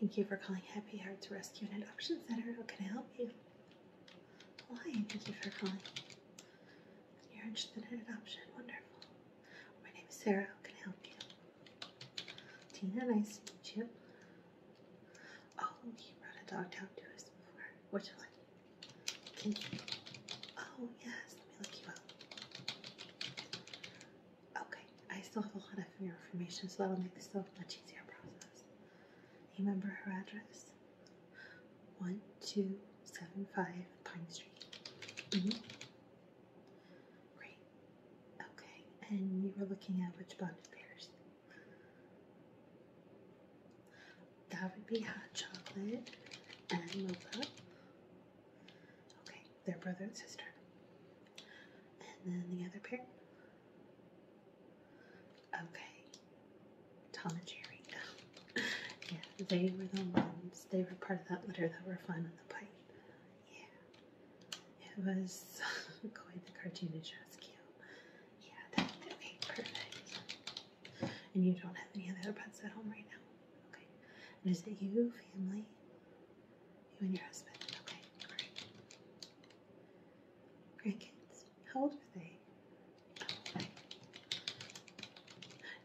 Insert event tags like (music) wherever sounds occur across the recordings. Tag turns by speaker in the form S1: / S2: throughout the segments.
S1: Thank you for calling Happy Hearts Rescue and Adoption Center. How can I help you? Why? Thank you for calling. You're interested in adoption. Wonderful. My name is Sarah. How can I help you? Tina, nice to meet you. Oh, you brought a dog down to us before. Which one? Oh, yes. Let me look you up. Okay. I still have a lot of information, so that'll make this a much easier process. You remember her address? 1275 Pine Street. Mm -hmm. Great. Okay. And you were looking at which bonded pairs? That would be hot chocolate and mocha. Okay, they're brother and sister. And then the other pair. Okay, Tom and Jerry. (laughs) yeah, they were the ones. They were part of that litter that were fine on the pipe. Yeah, it was (laughs) quite the cartoonish rescue. Yeah, that okay, perfect and you don't have any other pets at home right now. Okay. And is it you, family? You and your husband. Okay, great. kids. How old are they? Okay.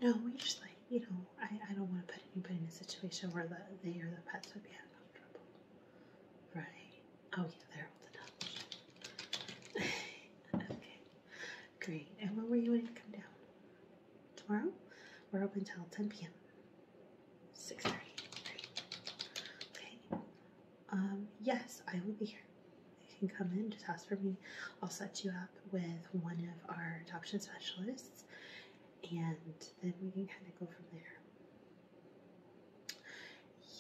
S1: No, we just like, you know, I, I don't want to put anybody in a situation where the, they or the pets would be uncomfortable. Right. Oh yeah, they're old enough. (laughs) okay. Great. And when were you ready to come down? Tomorrow? We're open till 10 p.m. 6.30. Great. Okay. Um, yes, I will be here. You can come in, just ask for me. I'll set you up with one of our adoption specialists and then we can kind of go from there.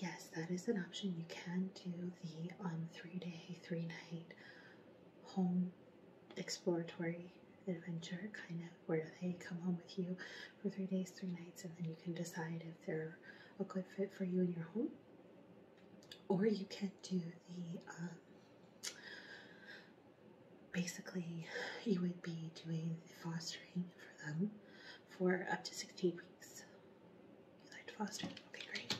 S1: Yes, that is an option. You can do the um, three day, three night home exploratory adventure kind of where they come home with you for three days, three nights, and then you can decide if they're a good fit for you in your home. Or you can do the um, basically, you would be doing the fostering for them for up to 16 weeks. You liked Foster? Okay, great.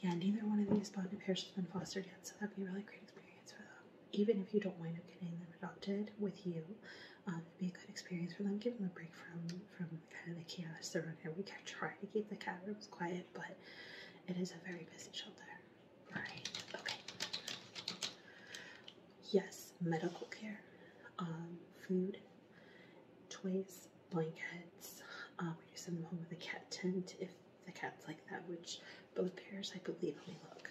S1: Yeah, neither one of these bonded pairs has been fostered yet, so that'd be a really great experience for them. Even if you don't wind up getting them adopted with you, um, it'd be a good experience for them. Give them a break from from kind of the chaos they're in. We can try to keep the cat rooms quiet, but it is a very busy shelter. All right. Okay yes, medical care, um, food, toys, blankets. Uh, we do send them home with a cat tent if the cat's like that, which both pairs, I believe, only look.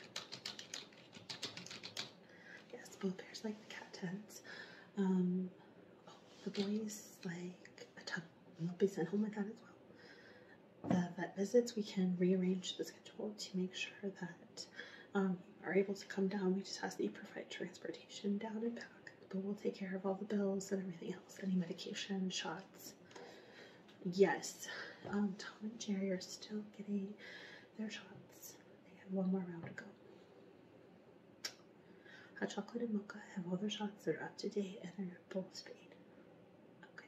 S1: Yes, both pairs like the cat tents. Um, oh, the boys like a tub, and will be sent home with that as well. The vet visits, we can rearrange the schedule to make sure that that um, are able to come down. We just have to provide transportation down and back. But we'll take care of all the bills and everything else, any medication, shots. Yes, um, Tom and Jerry are still getting their shots. They have one more round to go. Hot chocolate and mocha have all their shots. They're up to date and they're both spayed. Okay.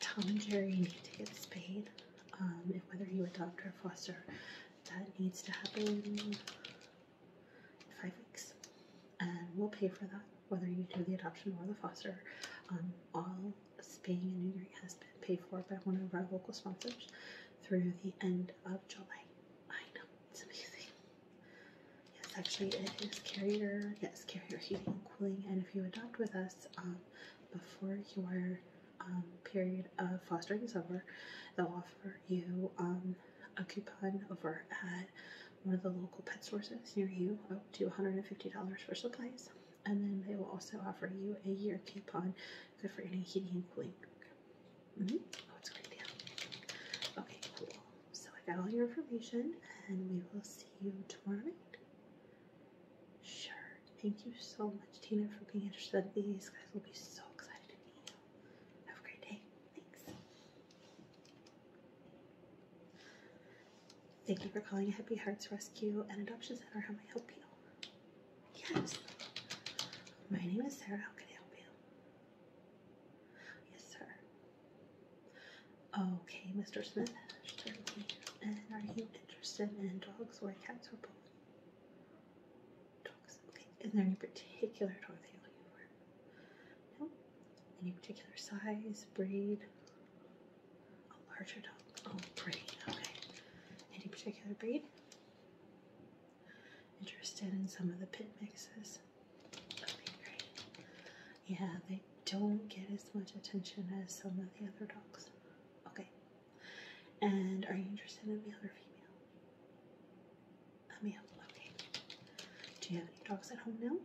S1: Tom and Jerry need to get spayed um, whether you adopt or foster, that needs to happen in five weeks. And we'll pay for that, whether you do the adoption or the foster. Um, all spaying and neutering has been paid for by one of our local sponsors through the end of July. I know, it's amazing. Yes, actually, it is carrier, yes, carrier heating and cooling. And if you adopt with us um, before you are um, period of fostering summer, they'll offer you um, a coupon over at one of the local pet stores near you up to $150 for supplies. And then they will also offer you a year coupon good for any heating and cooling. Mm-hmm. Oh, okay, cool. So I got all your information and we will see you tomorrow night. Sure. Thank you so much, Tina, for being interested in these. Guys will be so excited to meet you. Have a great day. Thanks. Thank you for calling Happy Hearts Rescue and Adoption Center. How may I help you? Yes. My name is Sarah. How can I help you? Yes, sir. Okay, Mr. Smith, and are you interested in dogs or cats or both? Dogs. Okay. Is there any particular dog that are looking for? No. Any particular size, breed? A larger dog. Oh, breed. Okay. Any particular breed? Interested in some of the pit mixes? Okay, great. Yeah, they don't get as much attention as some of the other dogs. Okay. And are you interested in male or female? male. Okay. Do you have any dogs at home now?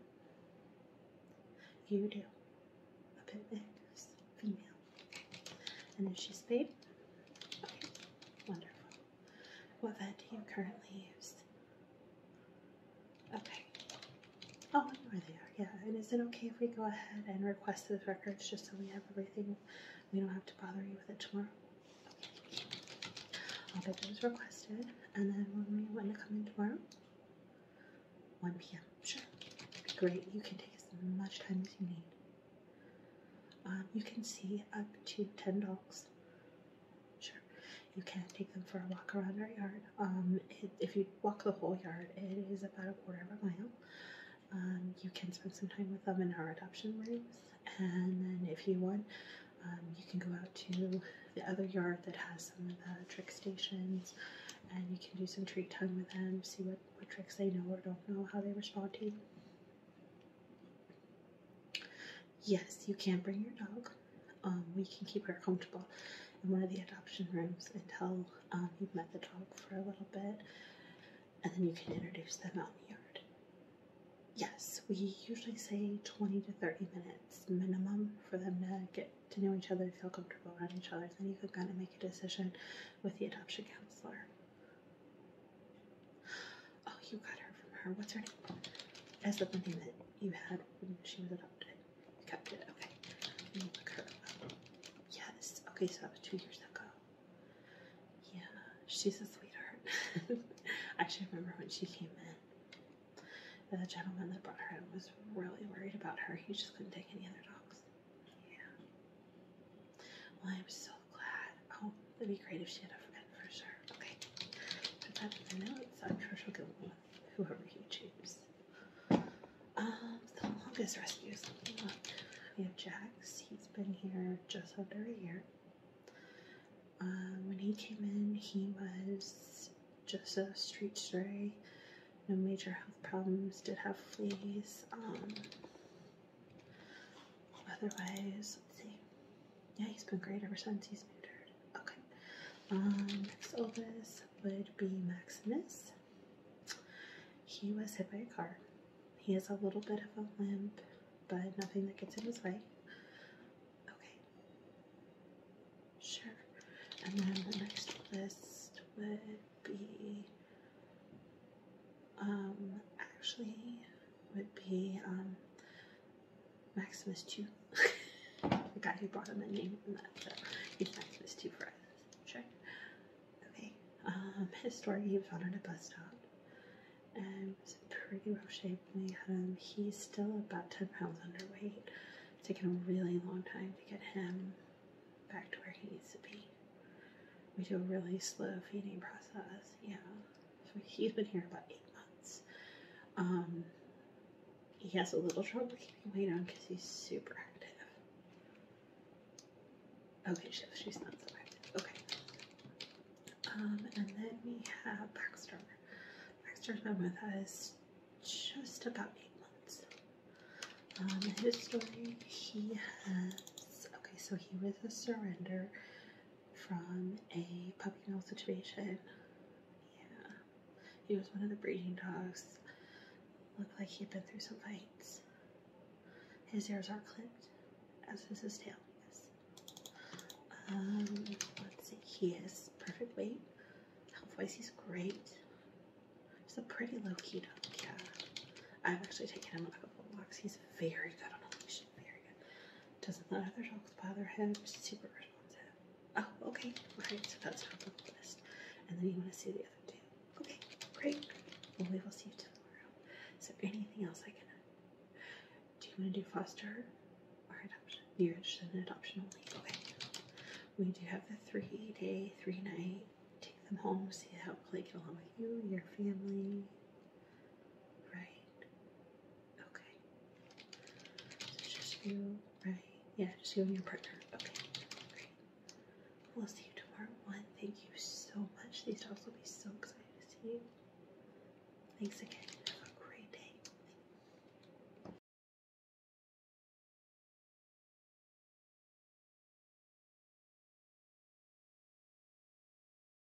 S1: You do. A pit is female. And is she spayed? Wonderful. What vet do you currently use? Okay. Oh, they are Yeah. And is it okay if we go ahead and request those records just so we have everything? We don't have to bother you with it tomorrow. Okay. I'll get those requested, and then when we want to come in tomorrow, 1 p.m. Sure. be great. You can take as much time as you need. Um, you can see up to 10 dogs. Sure. You can take them for a walk around our yard. Um, if you walk the whole yard, it is about a quarter of a mile. Um, you can spend some time with them in our adoption rooms, and then if you want, um, you can go out to the other yard that has some of the trick stations, and you can do some treat time with them, see what, what tricks they know or don't know, how they respond to you. Yes, you can bring your dog um, we can keep her comfortable in one of the adoption rooms until um, you've met the dog for a little bit, and then you can introduce them out in the yard. Yes, we usually say 20 to 30 minutes minimum for them to get to know each other, feel comfortable around each other, then you can kind of make a decision with the adoption counselor. Oh, you got her from her. What's her name? As of the name that you had she was adopted. kept it, okay. And Yeah, this is, okay, so that was two years ago. Yeah, she's a sweetheart. (laughs) I actually remember when she came in. The gentleman that brought her in was really worried about her. He just couldn't take any other dogs. Yeah. Well, I'm so glad. Oh, it'd be great if she had a friend for sure. Okay. Put that the notes. I'm sure she'll get one whoever you choose. Um, the longest rescues. We have Jax. He's been here just under a year. Um, when he came in, he was just a street stray. No major health problems. Did have fleas. Um, otherwise, let's see yeah, he's been great ever since he's been injured. Okay. Um, next oldest would be Maximus. He was hit by a car. He has a little bit of a limp, but nothing that gets in his way. Okay. Sure. And then the next list would be um actually would be um Maximus two. (laughs) the guy who brought him the name and that he's Maximus two for us. Sure. Okay. Um his story he was found at a bus stop and was pretty rough shape when we had him. He's still about ten pounds underweight. It's taken a really long time to get him back to where he needs to be. We do a really slow feeding process, yeah. So he's been here about eight months. Um, he has a little trouble keeping weight on because he's super active. Okay, she, she's not so active. Okay. Um, and then we have Baxter. Baxter's been with us just about eight months. Um, his story, he has, okay, so he was a surrender from a puppy mill situation. Yeah. He was one of the breeding dogs. Looked like he'd been through some fights. His ears are clipped, as is his tail, yes. Um, let's see, he is perfect weight. Health wise, he's great. He's a pretty low key dog, yeah. I've actually taken him on a couple of walks. He's very good on a leash question. There Doesn't let other dogs bother him. Super responsive. Oh, okay. Alright, so that's top of the list. And then you want to see the other two. Okay, great. we will see you tomorrow. Is there anything else I can do? Do you want to do foster or adoption? You're interested in adoption Okay. We do have the three day, three night. Take them home, see how they get along with you, your family, Right. Okay. it's just you, right? Yeah, just you and your partner. Okay. Great. We'll see you tomorrow one. Thank you so much. These dogs will be so excited to see you. Thanks again. Have a great day.